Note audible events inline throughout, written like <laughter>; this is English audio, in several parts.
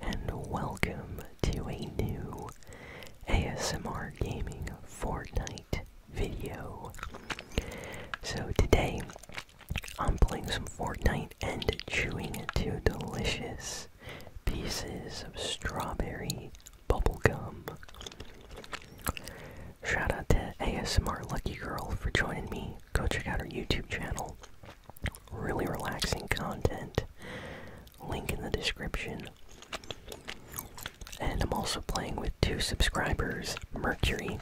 and welcome to a new ASMR Gaming Fortnite video. So, today I'm playing some Fortnite and chewing two delicious pieces of strawberry bubblegum. Shout out to ASMR Lucky Girl for joining me. Go check out her YouTube channel. Really relaxing content link in the description. And I'm also playing with two subscribers, Mercury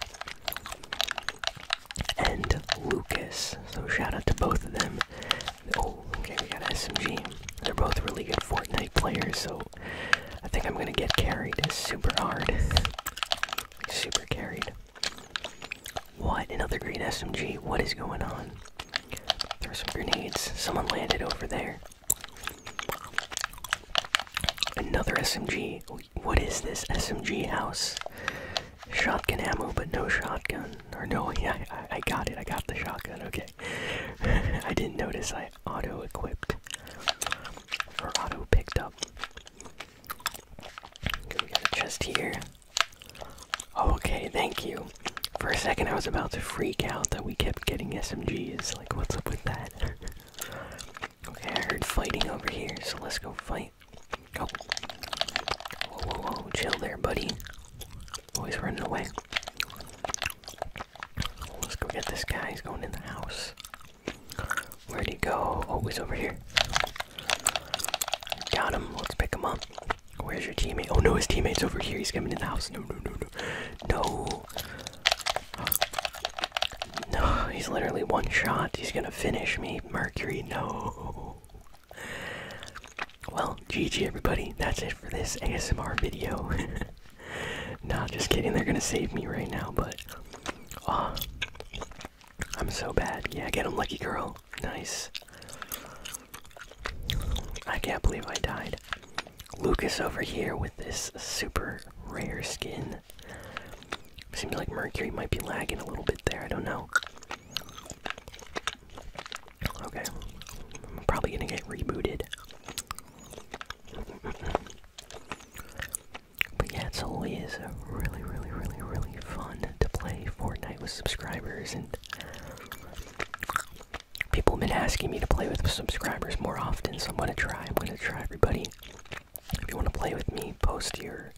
and Lucas. So shout out to both of them. Oh, okay, we got SMG. They're both really good Fortnite players, so I think I'm gonna get carried super hard. Super carried. What? Another green SMG? What is going on? Throw some grenades. Someone landed over there. Another SMG. What is this SMG house? Shotgun ammo, but no shotgun. Or no, <laughs> I, got it. I got the shotgun. Okay. <laughs> I didn't notice I auto equipped. Or auto picked up. Okay, we got a chest here. Okay, thank you. For a second, I was about to freak out that we kept getting SMGs. Like, what's up with that? okay, I heard fighting over here, so let's go fight. Go. Oh. Whoa, whoa, whoa, chill there, buddy. Always running away. Let's go get this guy. He's going in the house. Where'd he go? Always oh, over here. Got him. Let's pick him up. Where's your teammate? Oh no, his teammate's over here. He's coming in the house. No, no, no, no. No. No, he's literally one shot. He's gonna finish me. Mercury, no. Well, GG everybody. That's it for this ASMR video. <laughs> nah, just kidding. They're gonna save me right now, but. Uh, I'm so bad. Yeah, get him, lucky girl. Nice. I can't believe I died. Lucas over here with this super rare skin. Seems like Mercury might be lagging a little bit there, I don't know. Okay. I'm probably gonna get rebooted. but yeah, it's always really, really, really, really fun to play Fortnite with subscribers and People have been asking me to play with subscribers more often, so I'm gonna try. I'm gonna try, everybody. If you wanna play with me, post your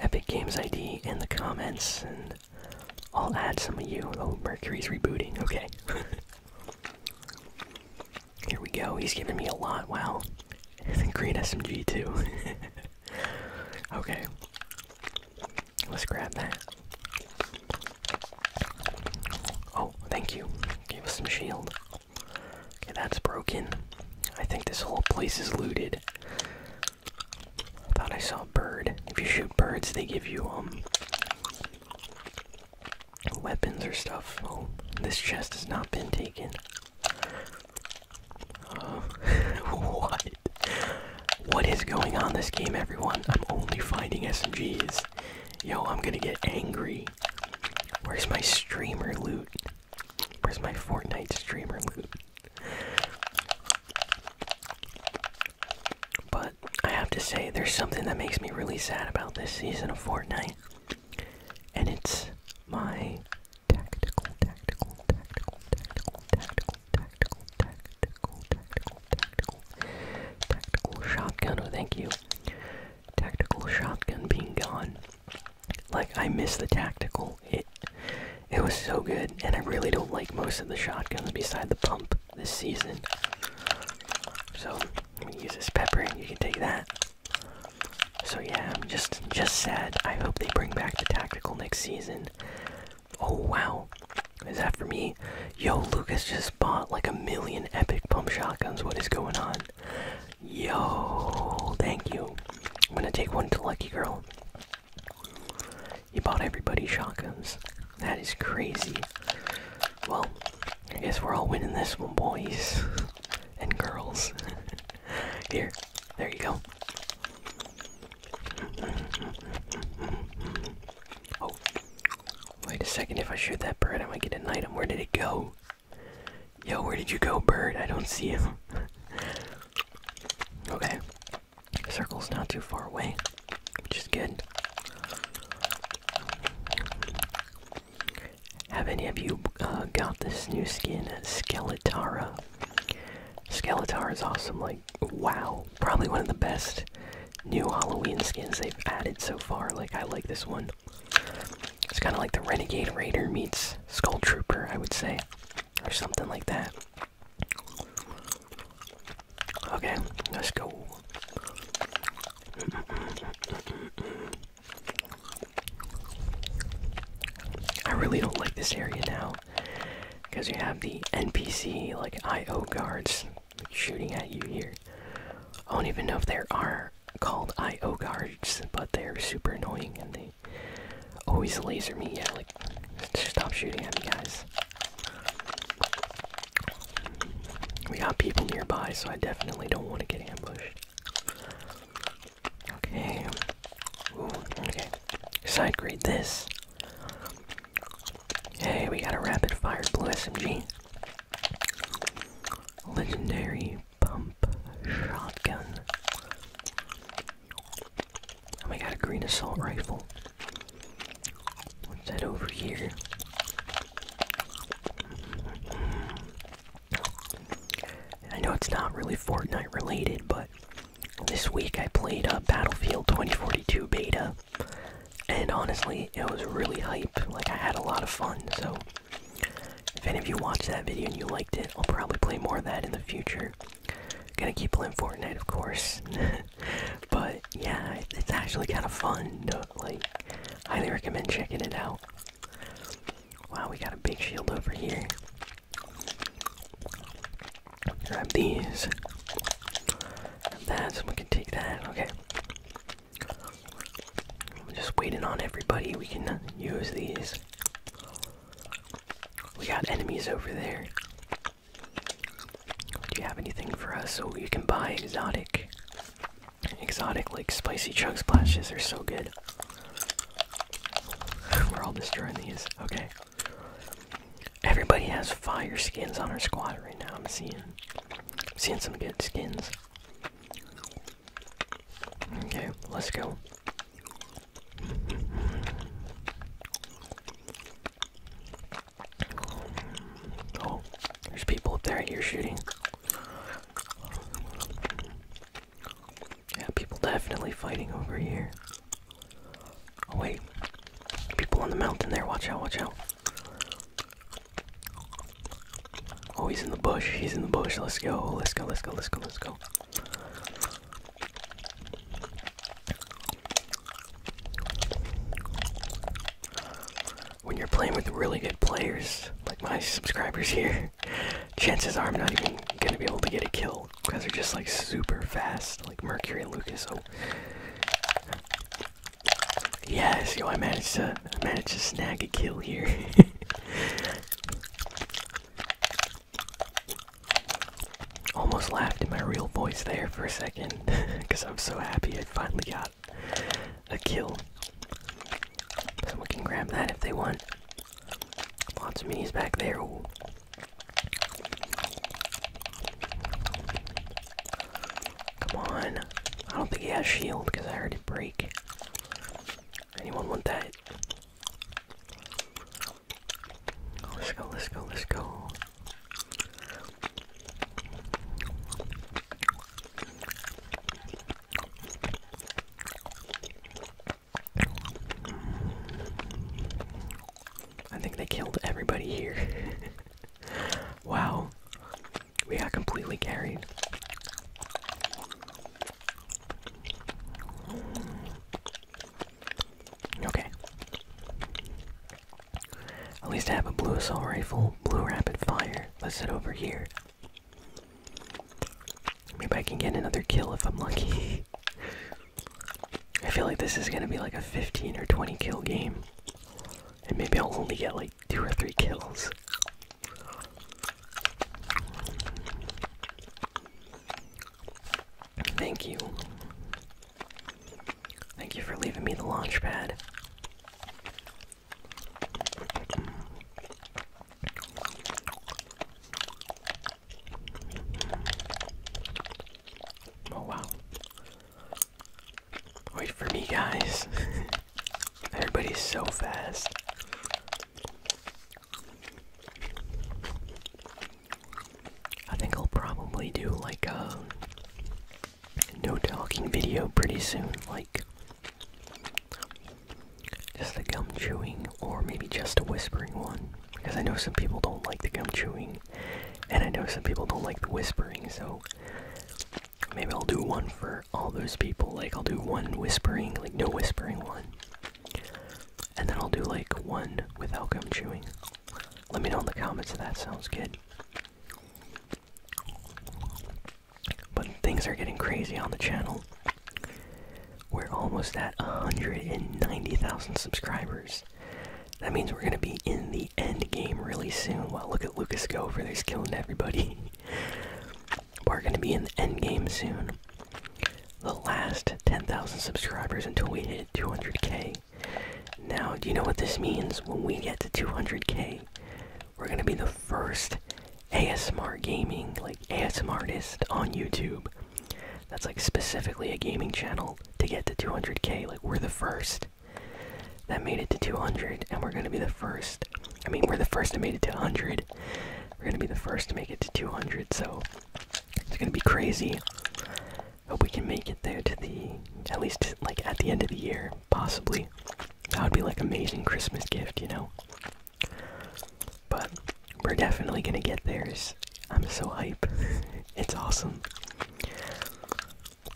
Epic Games ID in the comments, and I'll add some of you. Oh, Mercury's rebooting. Okay. <laughs> Here we go. He's giving me a lot. Wow. <laughs> Green SMG too. <laughs> okay. Let's grab that. Oh, thank you. Give us some shield. Okay, that's broken. I think this whole place is looted. I thought I saw a bird. If you shoot birds, they give you, um, weapons or stuff. Oh, this chest has not been taken what? What is going on this game, everyone? I'm only finding SMGs. Yo, I'm gonna get angry. Where's my streamer loot? Where's my Fortnite streamer loot? But I have to say, there's something that makes me really sad about this season of Fortnite. And it's my tactical, tactical, tactical, tactical, tactical, tactical, tactical, tactical, tactical, tactical shotgun. Oh, thank you. Tactical shotgun being gone. Like I miss the tactical. It it was so good, and I really don't like most of the shotguns beside the pump this season. So I'm gonna use this pepper. You can take that. So yeah, I'm just just sad. I hope they bring back the tactical next season. Oh wow. Is that for me? Yo, Lucas just bought like a million epic pump shotguns. What is going on? Yo, thank you. I'm gonna take one to Lucky Girl. You bought everybody shotguns. That is crazy. Well, I guess we're all winning this one, boys and girls. <laughs> Here, there you go. Oh, wait a second. If I shoot that bird, I might get an item. Where did it go? Yo, where did you go, bird? I don't see him. <laughs> okay. circle's not too far away, which is good. Have any of you uh, got this new skin, Skeletara? Skeletor is awesome. Like, wow. Probably one of the best new Halloween skins they've added so far. Like, I like this one. It's kind of like the Renegade Raider meets Skull Trooper, I would say. Or something like that. Okay, let's go. I really don't like this area now because you have the npc like io guards shooting at you here i don't even know if they are called io guards but they're super annoying and they always laser me yeah like stop shooting at me guys we got people nearby so i definitely don't want to get ambushed Okay. Ooh, okay. Side grade this. Hey, we got a rapid fire blue SMG. Legendary pump shotgun. And we got a green assault rifle. What's that over here? I know it's not really Fortnite related, but this week I played uh, Battlefield 2042 beta, and honestly, it was really hype. Like, I had a lot of fun, so if any of you watched that video and you liked it, I'll probably play more of that in the future. Gonna keep playing Fortnite, of course, <laughs> but yeah, it's actually kind of fun. Like, highly recommend checking it out. Wow, we got a big shield over here. Grab these. That's. that, so we can take that. Okay. I'm just waiting on everybody. We can use these. We got enemies over there. Do you have anything for us? So you can buy exotic. Exotic, like spicy chug splashes, are so good. <sighs> We're all destroying these. Okay. Everybody has fire skins on our squad right now. I'm seeing, seeing some good skins. Okay, let's go. Oh, there's people up there. You're shooting. Yeah, people definitely fighting over here. Oh wait. People on the mountain there, watch out, watch out. Oh, he's in the bush, he's in the bush. Let's go, let's go, let's go, let's go, let's go. When you're playing with really good players, like my subscribers <laughs> here, chances are I'm not even gonna be able to get a kill because they're just like super fast, like Mercury and Lucas. So yes, yo, I managed to I to snag a kill here. <laughs> Almost laughed in my real voice there for a second because <laughs> I'm so happy I finally got a kill. Someone can grab that if they want. Lots of minis back there. Come on. I don't think he has shield because I heard it break. Anyone want that? Let's go, let's go, let's go. I think they killed everybody here. <laughs> wow. We got completely carried. Okay. At least I have a blue assault rifle, blue rapid fire. Let's head over here. Maybe I can get another kill if I'm lucky. I feel like this is gonna be like a 15 or 20 kill game. And maybe I'll only get like 2 or 3 kills. Thank you. Thank you for leaving me the launch pad. Oh wow. Wait for me, guys. <laughs> Everybody's so fast. I think I'll probably do like a no talking video pretty soon. Like, just a gum chewing, or maybe just a whispering one. Because I know some people don't like the gum chewing, and I know some people don't like the whispering, so maybe I'll do one for all those people. Like, I'll do one whispering, like, no whispering one. And then I'll do, like, one without gum chewing. Let me know in the comments if that sounds good. But things are getting crazy on the channel. We're almost at 190,000 subscribers. That means we're gonna be in the end game really soon. Well, look at Lucas go over there, he's killing everybody. <laughs> we're gonna be in the end game soon. The last 10,000 subscribers until we hit 200k. Now, do you know what this means? When we get to 200k, we're gonna be the first ASMR gaming, like ASMR artist on YouTube. That's like specifically a gaming channel to get to 200k. Like we're the first that made it to 200, and we're gonna be the first. I mean, we're the first to make it to 100. We're gonna be the first to make it to 200, so it's gonna be crazy. Hope we can make it there to the at least like at the end of the year, possibly. That would be like amazing Christmas gift, you know? But we're definitely gonna get theirs. I'm so hype. <laughs> it's awesome.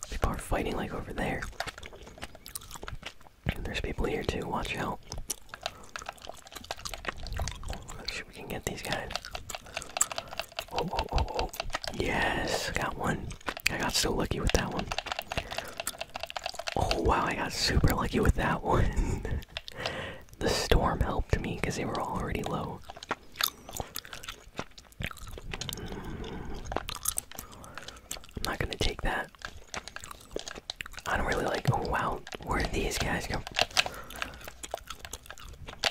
People are fighting like over there. there's people here too, watch out. Let's see if we can get these guys. Oh, oh, oh, oh. Yes, got one. I got so lucky with that one. Oh wow, I got super lucky with that one. <laughs> the storm helped me because they were already low. I'm not gonna take that. I don't really like. Oh wow, where did these guys go?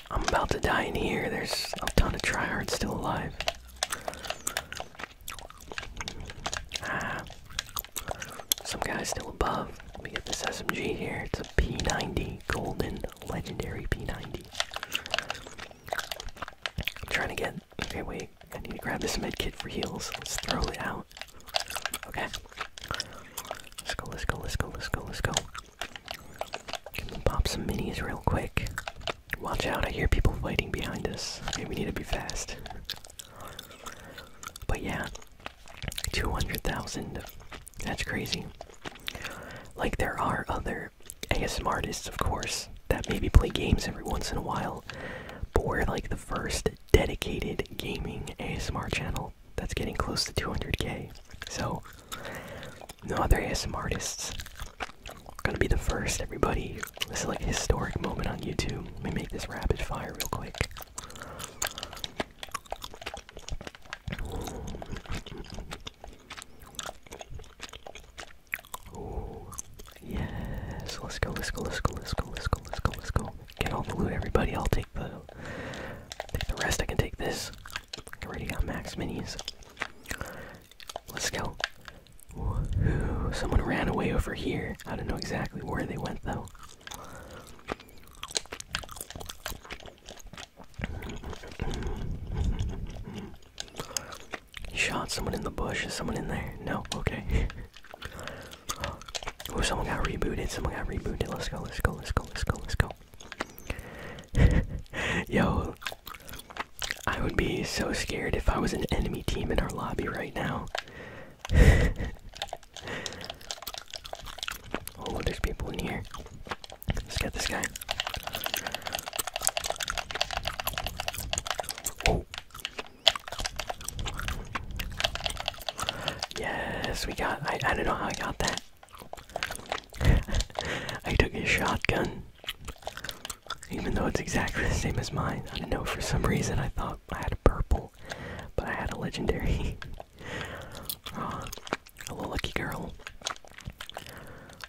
I'm about to die in here. There's a ton of tryhards still alive. Some guys still above. We me get this SMG here. It's a P90, golden legendary P90. I'm trying to get. Okay, wait. I need to grab this med kit for heals. Let's throw it out. Okay. Let's go. Let's go. Let's go. Let's go. Let's go. Can pop some minis real quick? Watch out, I hear people fighting behind us. Okay, we need to be fast. But yeah, 200,000. That's crazy. Like, there are other ASMR artists, of course, that maybe play games every once in a while, but we're like the first dedicated gaming ASMR channel that's getting close to 200k. So, no other ASMR artists Gonna be the first, everybody. This is like a historic moment on YouTube. Let me make this rapid fire real quick. Yes, let's go, let's go, let's go, let's go, let's go, let's go, let's go. Get all the loot, everybody. I'll take the take the rest. I can take this. I already got max minis. Let's go. Someone ran away over here. I don't know exactly where they went, though. He shot someone in the bush. Is someone in there? No? Okay. oh, someone got rebooted. Someone got rebooted. Let's go, let's go, let's go, let's go, let's go. <laughs> Yo. I would be so scared if I was an enemy team in our lobby right now. <laughs> oh, there's people in here. Let's get this guy. Oh. Yes, we got. I, I don't know how I got that. <laughs> I took a shotgun even though it's exactly the same as mine. I don't know, for some reason I thought I had a purple, but I had a legendary. <laughs> uh, hello, lucky girl.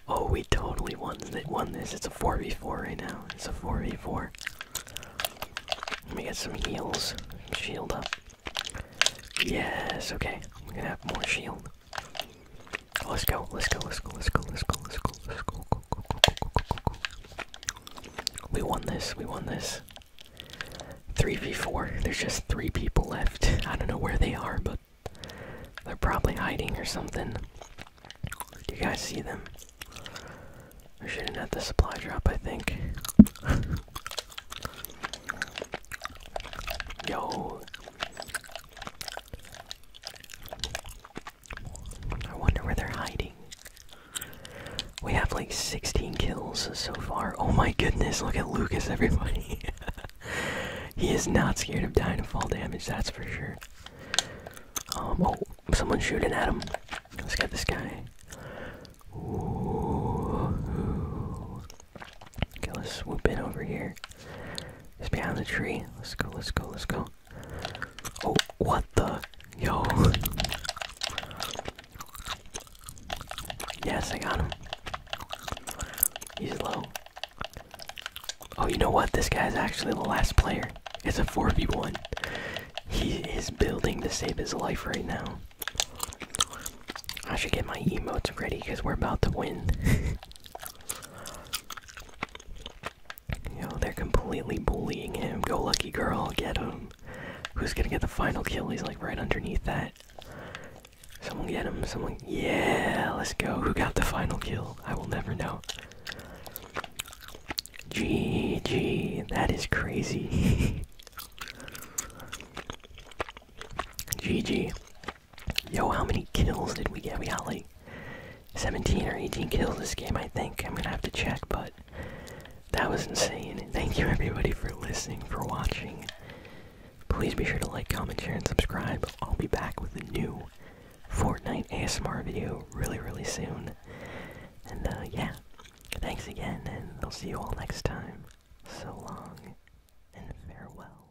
Oh, we totally won, th won this. It's a 4v4 right now. It's a 4v4. Let me get some heals. Shield up. Yes, okay. We're gonna have more shield. Let's go, let's go, let's go, let's go, let's go, let's go, let's go, go, go, go, go, go, go, go. We won this, we won this. 3v4, there's just three people left. I don't know where they are, but they're probably hiding or something. Do you guys see them? We're shooting at the supply drop, I think. <laughs> Yo. I wonder where they're hiding. We have like 16 kills so far. Oh my goodness, look at Lucas, everybody. <laughs> he is not scared of dying of fall damage, that's for sure. Um, oh, someone's shooting at him. Let's get this guy. Okay, let's swoop in over here. He's behind the tree. Let's go, let's go, let's go. Oh, what the? Yo. Yes, I got him. He's low. Oh, you know what? This guy's actually the last player. It's a 4v1. He is building to save his life right now. I should get my emotes ready because we're about to win. <laughs> You they're completely bullying him. Go lucky girl, get him. Who's gonna get the final kill? He's like right underneath that. Someone get him, someone. Yeah, let's go. Who got the final kill? I will never know. GG, that is crazy. GG. <laughs> Yo, how many kills did we get? We got like 17 or 18 kills this game, I think. I'm gonna have to check, but that was insane. Thank you everybody for listening, for watching. Please be sure to like, comment, share, and subscribe. I'll be back with a new Fortnite ASMR video really, really soon. And uh, yeah, thanks again, and I'll see you all next time. So long, and farewell.